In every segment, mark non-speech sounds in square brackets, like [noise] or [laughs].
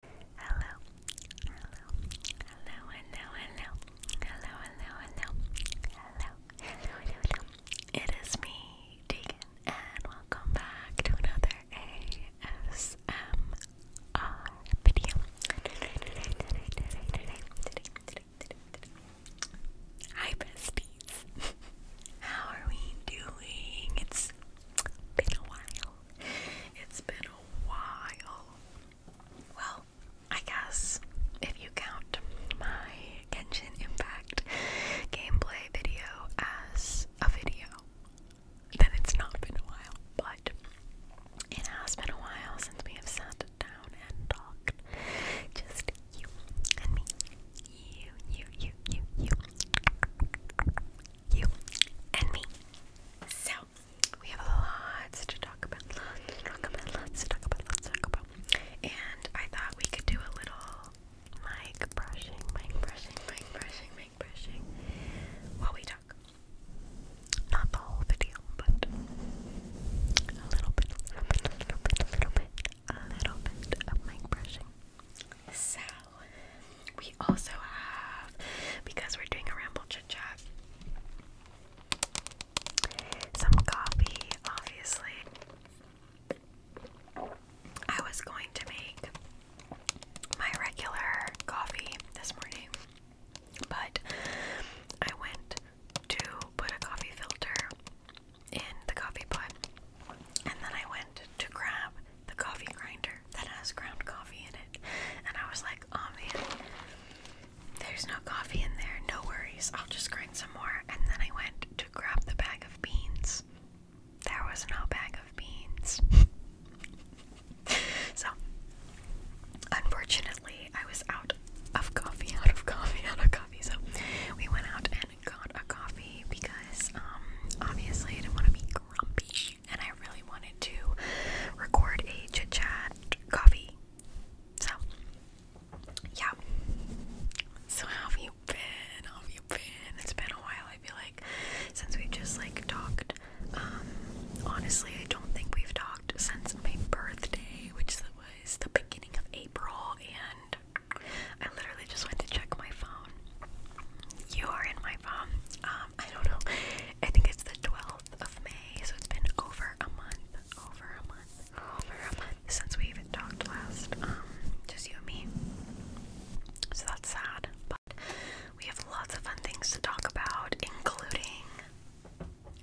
Hello, hello, hello, hello, hello, hello, hello, hello, hello, hello, It is me, Deegan, and welcome back to another ASMR video. Hi, besties. How are we doing? It's been a while. It's been a while. Well, I guess if you count my Genshin Impact gameplay video as a video, then it's not been a while, but it has been a while since we have sat down and talked. Just you and me. You, you, you, you, you you, and me. So, we have lots to talk about, lots to talk about, lots to talk about, lots to talk about. And I thought we could do a little mic brushing, mic brushing, mic brushing, mic brushing while we talk. Not the whole video, but a little bit, a little bit, a little bit, a little bit, a little bit of mic brushing. So, we also have because we're doing a ramble chit some coffee obviously I was going to make my regular coffee this morning but I went to put a coffee filter in the coffee pot and then I went to grab the coffee grinder that has ground coffee in it. And I was like, oh man, there's no coffee in there, no worries, I'll just grind some more. And then I went to grab the bag of beans. There was no bag of beans. [laughs] so, unfortunately, I was out of coffee, out of coffee, out of coffee. So, we went out and got a coffee because, um, obviously, I didn't want to be grumpy and I really wanted to record a chit chat coffee. So, yeah. So how have you been? How have you been? It's been a while. I feel like since we've just like talked. Um, honestly, I don't think we've talked since my birthday, which was the beginning of April, and I literally just went to check my phone. You are in my phone. Um, um, I don't know. I think it's the 12th of May, so it's been over a month, over a month, over a month since we even talked last. Um, just you and me. So that's sad, but we have lots of fun things to talk about, including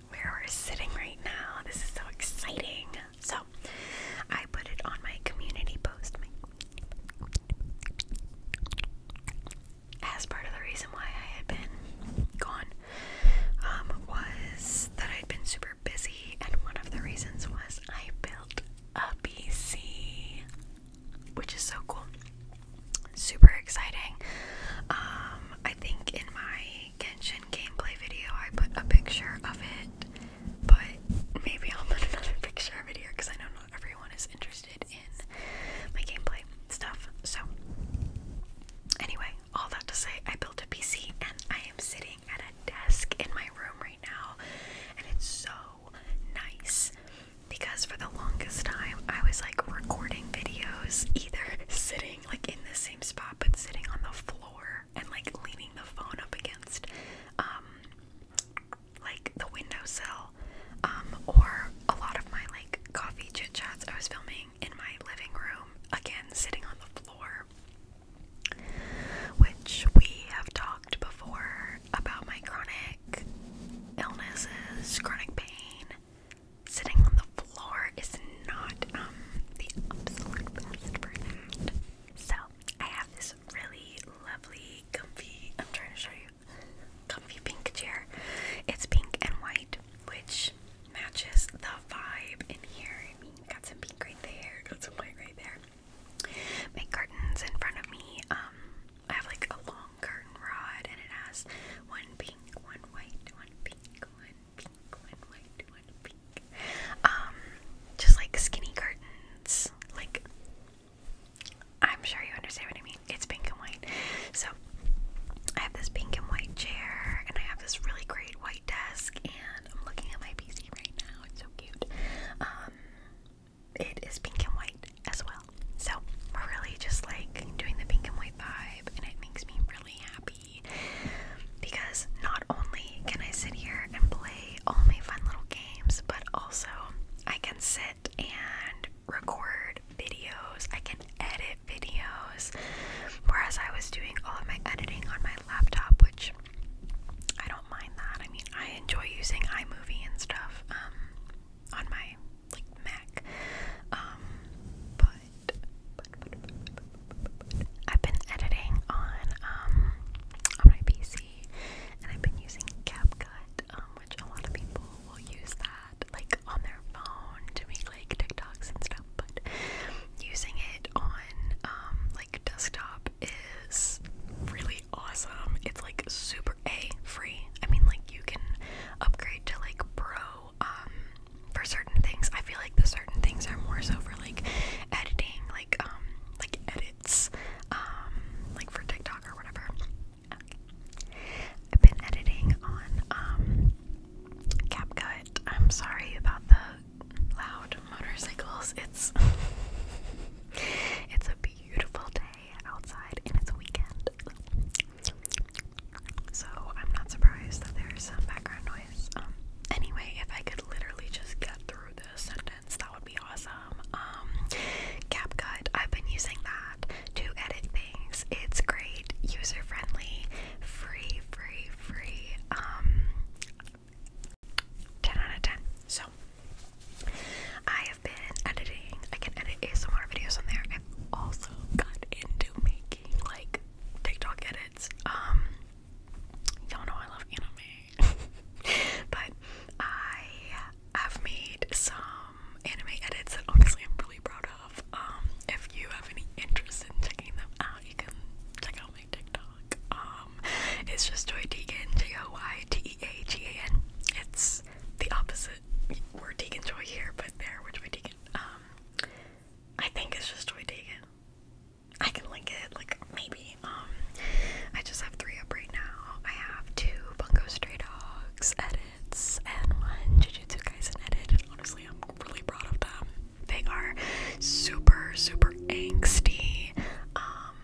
where we're sitting right now. This is so exciting. So, I put it on my community post as part of the reason why I had been gone um, was that I'd been super busy, and one of the reasons was I built a PC, which is so cool. Super exciting. Um, I think in my Genshin gameplay video, I put a picture of it, but maybe I'll put another [laughs] picture of it here because I know not everyone is interested in my gameplay stuff. So, anyway, all that to say, I built a PC and I am sitting at a desk in my room right now, and it's so nice because for the longest time I was like recording videos either [laughs] sitting like in the same spot but sitting on the floor and like leaning the phone up against um, like the windowsill, um, or a lot of my like coffee chit chats I was filming in my living room, again sitting on the floor. Which we have talked before about my chronic illnesses, chronic pain. Sitting on the floor is not um, the absolute best for that. So I have this really lovely, comfy. I'm trying to show you comfy pink chair. It's pink and white, which matches the vibe in here. I mean, got some pink right there, got some white right there. My curtains in front of me, um, I have like a long curtain rod and it has one pink, one white, one pink, one pink, one white, one pink. Um, just like skinny curtains, like I'm sure you understand what I mean. It's pink and white. So I have this pink and white chair, and I have this really great white desk, and I'm looking at my PC right now. It's so cute. Um, it is pink and white as well. So we're really just like doing the pink and white vibe, and it makes me really happy because not only can I sit here and play all my fun little games, but also I can sit and record videos, I can edit videos. Whereas I was doing all of my editing on my laptop, which I don't mind that. I mean, I enjoy using iMovie and stuff um, on my like Mac. Um, but, I've been editing on um, on my PC, and I've been using Cap um, which a lot of people will use that like on their phone to make like TikToks and stuff, but using it on um, like desktop is really awesome. It's like super A free. I mean like you can upgrade to like pro um, for certain things. I feel like the certain things are more so for like editing, like like edits, like for TikTok or whatever. I've been editing on um, CapCut. I'm sorry about the loud motorcycles. It's [laughs] it's a beautiful day outside and it's a weekend. So I'm not surprised that there's some background noise. Um, anyway, if I could literally just get through this and that would be awesome. Um, CapCut, I've been using that to edit things. It's great, user friendly, free, free, free. Um, 10 out of 10. So, I have been editing. I can edit ASMR videos on there. I've also got into making like TikTok edits. Um, y'all know I love anime, [laughs] but I I've made some anime edits that honestly I'm really proud of. Um, if you have any interest in checking them out, you can check out my TikTok. Um, it's just Joy Deegan, J O Y T E A G A N. It's the opposite. We're Deegan Joy here, but there we're Joy Deegan. Um, I think it's just Joy Deegan. I can link it, like maybe. Um, I just have three up right now. I have two Bungo Stray Dogs edits and one Jujutsu Kaisen edit, and honestly, I'm really proud of them. They are super, super angsty, um,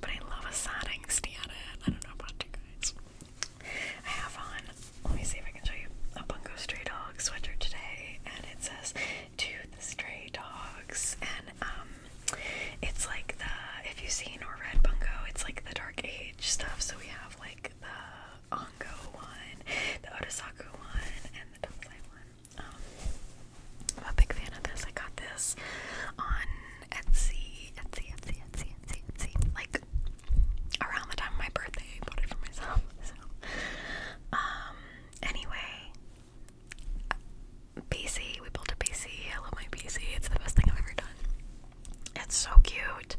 but I love a sad angsty edit. I don't know about you guys. I have on, let me see if I can show you, a Bungo Stray Dogs sweater today, and it says, To the Stray Dogs, and um, it's like the if you've seen or read Bungo, it's like the Dark Age stuff. So we have like the Ongo one, the Otosaku one, and the Tensai one. Um, I'm a big fan of this. I got this on Etsy, Etsy, Etsy, Etsy, Etsy, Etsy. Like around the time of my birthday, I bought it for myself. So, um, anyway, PC. We built a PC. I love my PC. It's the best thing I've ever done. It's so cute,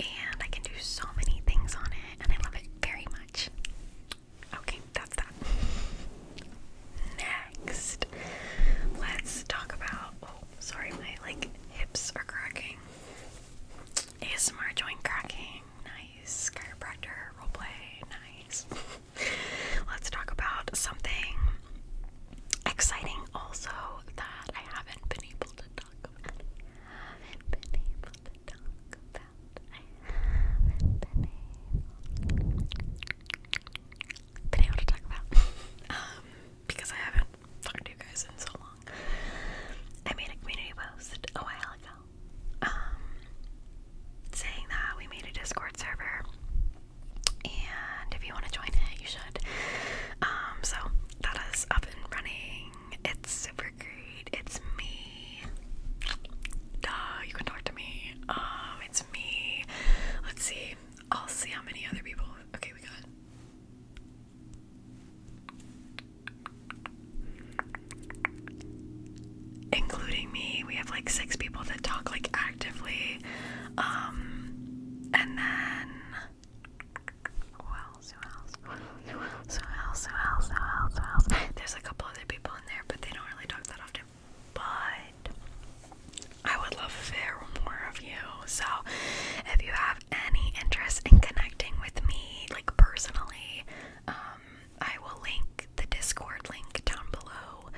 and I can do so many things on it, and I love it very much. Okay, that's that. Next, let's talk about. Oh, sorry, my like hips are cracking. ASMR joint cracking. Nice. Chiropractor roleplay. Nice. [laughs] Let's talk about something exciting also that I haven't been able to talk about. I haven't been able to talk about. I haven't been able, to talk about. Um, because I haven't talked to you guys in so long. I made a community post a while ago. Um, saying that we made a Discord server and if you want to join it, you should. Um, so that is up and running. It's super great. It's me. Duh, you can talk to me. Um, it's me. Let's see. I'll see how many other people. Okay, we got. Including me, we have like six people that talk like actively. Um, and then who else? Who else? Who else? Who else? Who else? There's a couple other people in there, but they don't really talk that often. But I would love if there more of you. So if you have any interest in connecting with me, like personally, um, I will link the Discord link down below.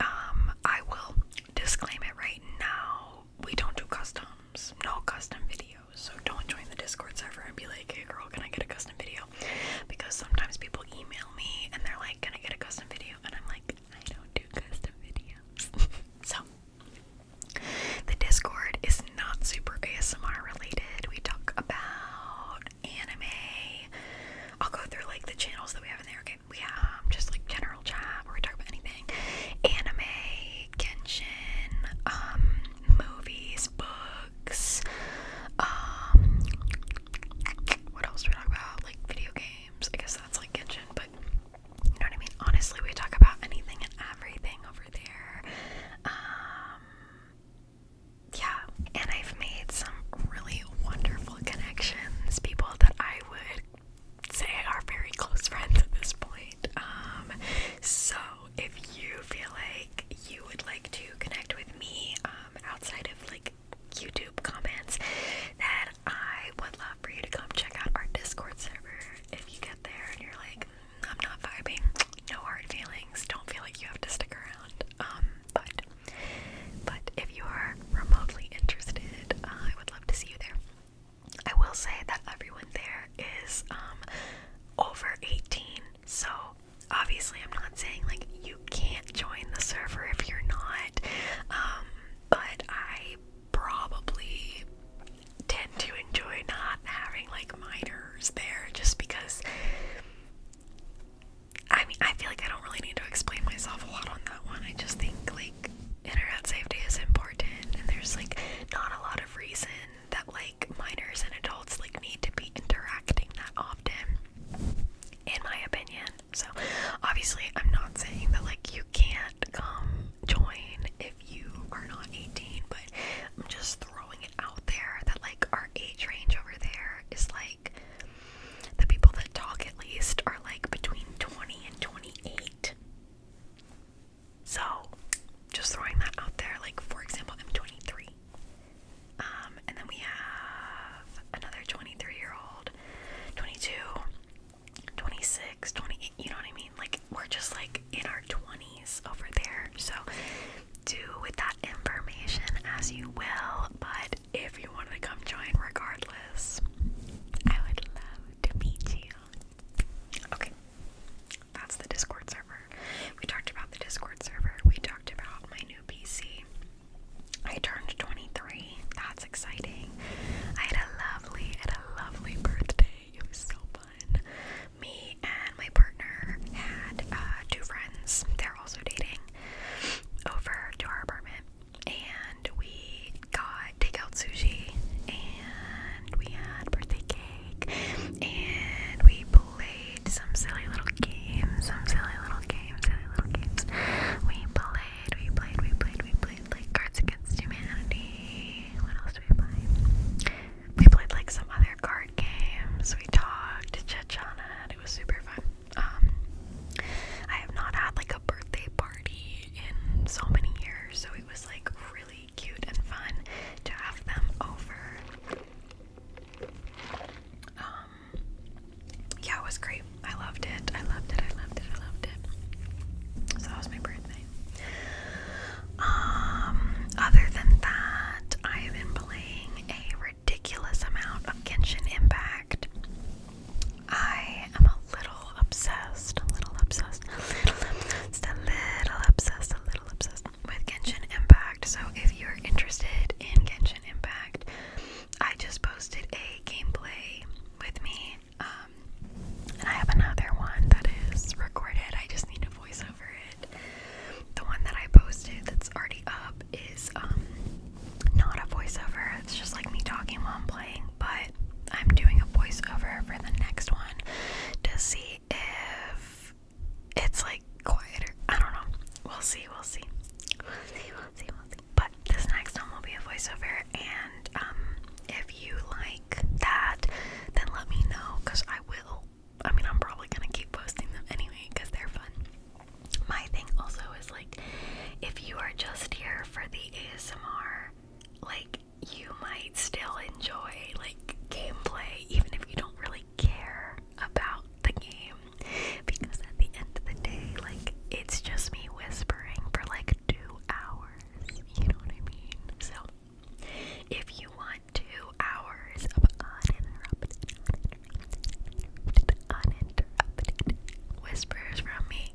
Um, I will disclaim it right now. We don't do customs, no custom videos. So don't join the Discord server and be like, hey girl, can I get a custom video? Because sometimes people email me and they're like, can I get a custom video? And I'm like, I don't do custom videos. [laughs] so the Discord is not super ASMR related. We talk about anime. I'll go through like the channels that we have in there, okay? we just like general chat we talk about anything anime, Genshin, um, movies, books, um, what else we talk about? Like video games. I guess that's like Genshin, but you know what I mean? Honestly, we talk about anything and everything over there. Um, yeah, and I've made some really wonderful connections, people that I would say are very close friends at this point. Um, so if you feel like you would like to connect with me um, outside of like YouTube comments, then I would love for you to come check out our Discord server. If you get there and you're like, mm, I'm not vibing, no hard feelings, don't feel like you have to stick around. Um, but but if you are remotely interested, uh, I would love to see you there. I will say that everyone there is um, over 18, so obviously I'm not saying like you can't join the server if you're not, um, but I probably tend to enjoy not having like minors there just because I mean, I feel like I don't really need to explain myself a lot on that one. I just think like internet safety is important, and there's like not a lot of reason that like minors and adults like need to be interacting that often, in my opinion. So obviously, I'm not saying that like you can't come join if you are not 18, but I'm just throwing it out there that like our age range over there is like the people that talk at least are like between 20 and 28. So, just throwing that out there, like for example, I'm 23. Um, and then we have another 23 year old, 22, 26, 28, you know what I mean? Like, we're just like in our 20s over there. So, do with that information as you will, but if you want to come join regardless, I would love to meet you. Okay, that's the Discord server. We talked about the Discord server, we talked about my new PC. I turned 23. That's exciting. I had a lovely, had a lovely birthday. It was so fun. Me and my partner had uh, two friends. They're also dating over to our apartment, and we got takeout sushi and we had birthday cake and we played some silly little games, some silly little games, silly little games. We played, we played, we played, we played like Cards Against Humanity. What else did we play? We played like some other card games. We talked to Chechana and it was super fun. Um, I have not had like a birthday party in so many years, so it was like really cute and fun to have them over. Um, yeah, it was great. I loved it. I loved it. I loved it. I loved it. So that was my birthday. Um, other than that, I have been playing a ridiculous amount of Genshin Impact. I am a little obsessed, a little obsessed, a [laughs] a little obsessed, a little obsessed with Genshin Impact. So if you're interested in Genshin Impact, I just posted a gameplay with me. Um, and I have another one that is recorded. I just need a voice over it. The one that I posted that's already up is um, not a voiceover. It's just like me talking while I'm playing, but I'm doing a voiceover for the next one to see if it's like quieter. I don't know. We'll see. We'll see. We'll see. We'll see. We'll see. But this next one will be a voiceover, and um, if you like that, then let me know, cause I will. I mean, I'm probably gonna keep posting them anyway, cause they're fun. My thing also is like, if you are just here for the ASMR, like you might still enjoy like gameplay even if you don't really care about the game because at the end of the day like it's just me whispering for like 2 hours you know what i mean so if you want 2 hours of uninterrupted, uninterrupted whispers from me.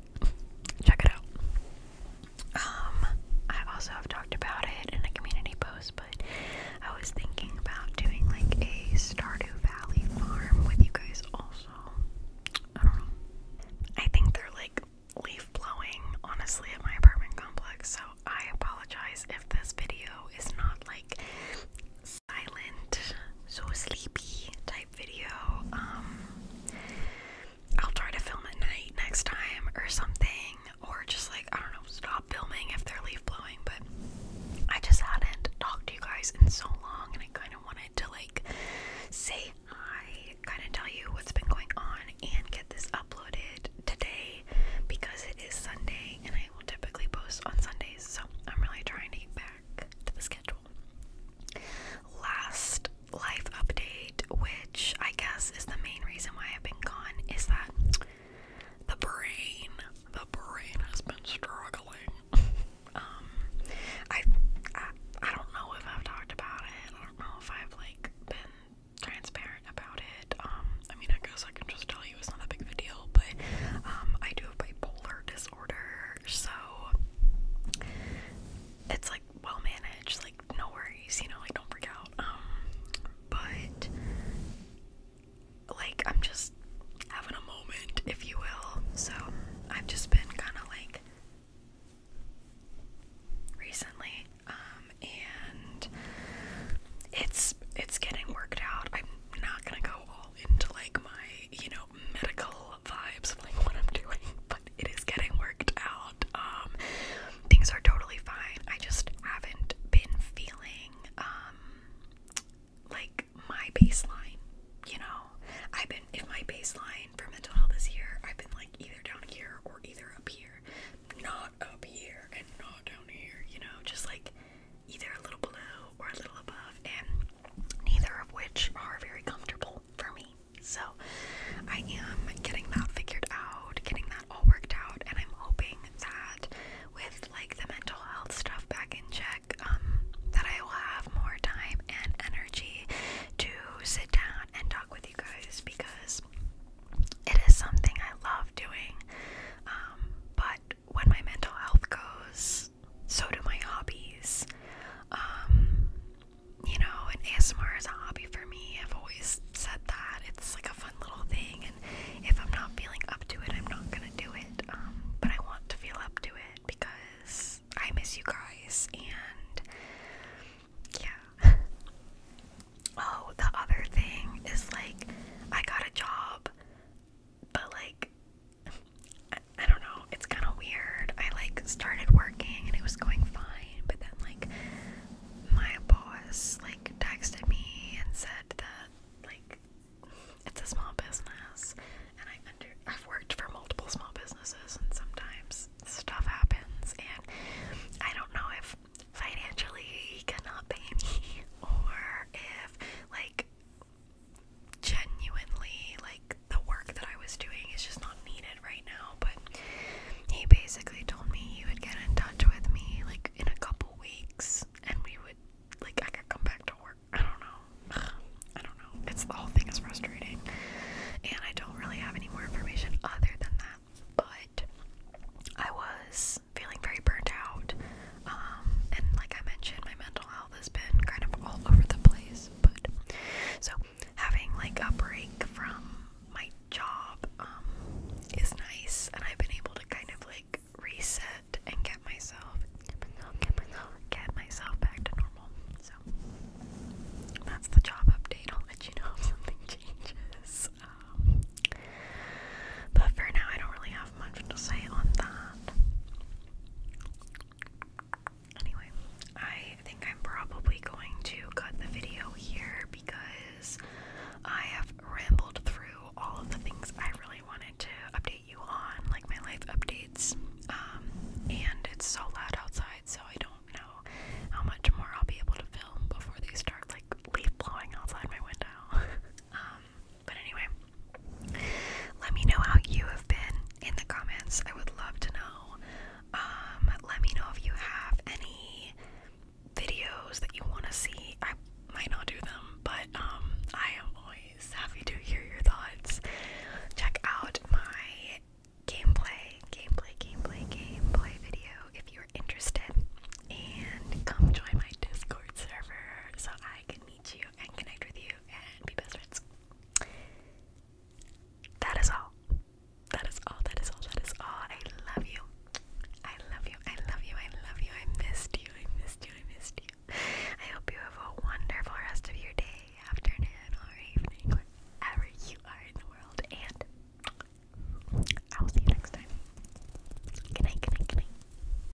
Check it out. Um, I also have talked about it in a community post, but I was thinking about doing like a Stardew Valley farm with you guys also. I don't know. I think they're like leaf blowing, honestly, at my apartment complex, so I apologize if this video is not like silent, so sleepy type video. Um, I'll try to film at night next time or something, or just like I don't know, stop filming if they're leaf blowing. But I just hadn't talked to you guys in so long, and I kind of wanted to like say hi, kind of tell you what's been going on, and get this uploaded today because it is Sunday, and I will typically post on Sundays. So I'm really trying to get back the schedule. Last life update, which I guess is the main reason why I've been gone, is that the brain, the brain has been struggling. [laughs] um, I, I, don't know if I've talked about it. I don't know if I've like been transparent about it. Um, I mean, I guess I can just tell you it's not a big of a deal, but um, I do have bipolar disorder so it's like well managed, like no worries, you know, like don't freak out. Um, but like I'm just having a moment, if you will. So I've just been kind of like recently, um, and it's it's getting worked out. I'm not gonna go all into like my you know, medical vibes like what I'm doing, [laughs] but it is getting worked out. Um, things are totally fine. I just haven't been feeling um like my baseline, you know. I've been if my baseline for mental health is here, I've been like either down here or either up here. Not up here and not down here, you know, just like either a little below or a little above. And neither of which are very comfortable for me. So I am getting that figured out, getting that all worked out, and I'm hoping that with like the mental health stuff back in check, um, that I will have more time and energy to sit down and talk with you guys because it is something I love doing. Um, but when my mental health goes so do my hobbies. Um, you know, and ASMR is a hobby for me. I've always said that. It's like a fun little thing, and if I'm not feeling up to it, I'm not gonna do it. Um, but I want to feel up to it because I miss you guys, and yeah. [laughs] oh, the other thing is like, I got a job, but like, I, don't know, it's kind of weird. I like started working and it was going fine, but then like my boss like texted me and said that like it's a small business and I've worked for multiple small businesses and sometimes stuff happens and I don't know if financially he cannot pay me [laughs] or if like genuinely like the work that I was doing is just not needed right now. But he basically told me he would get in touch with me like in a couple weeks and we would like I could come back to work. I don't know. [sighs] I don't know. It's the whole thing is frustrating. And I don't really have any more information other than that. But I was feeling very burnt out. Um, and like I mentioned, my mental health has been kind of all over the place. But so having like a break from my job um, is nice, and I've been able to kind of like reset and get myself, get myself, back to normal. So that's the job update. I'll let you know if something [laughs] changes. Um, but for now, I don't really have much to say on that. Anyway, I think I'm probably going to cut the video here because I have rambled through all of the things I really wanted to update you on, like my life updates. Um, and it's so loud outside, so I don't know how much more I'll be able to film before they start like leaf blowing outside my window. [laughs] um, but anyway, let me know how you have been in the comments. I would love to know. Um, let me know if you have any videos that you want to see. I might not do them, but um, I am always happy to hear your thoughts. Check out my gameplay, gameplay, gameplay, gameplay video if you're interested. And come join my Discord server so I can meet you and connect with you and be best friends. That is all. That is all. That is all. That is all. I love you. I love you. I love you. I love you. I missed you. I missed you. I missed you. I hope you have a wonderful rest of your day, afternoon, or evening, wherever you are in the world. And I will see you next time. Good night. Good night. Good night.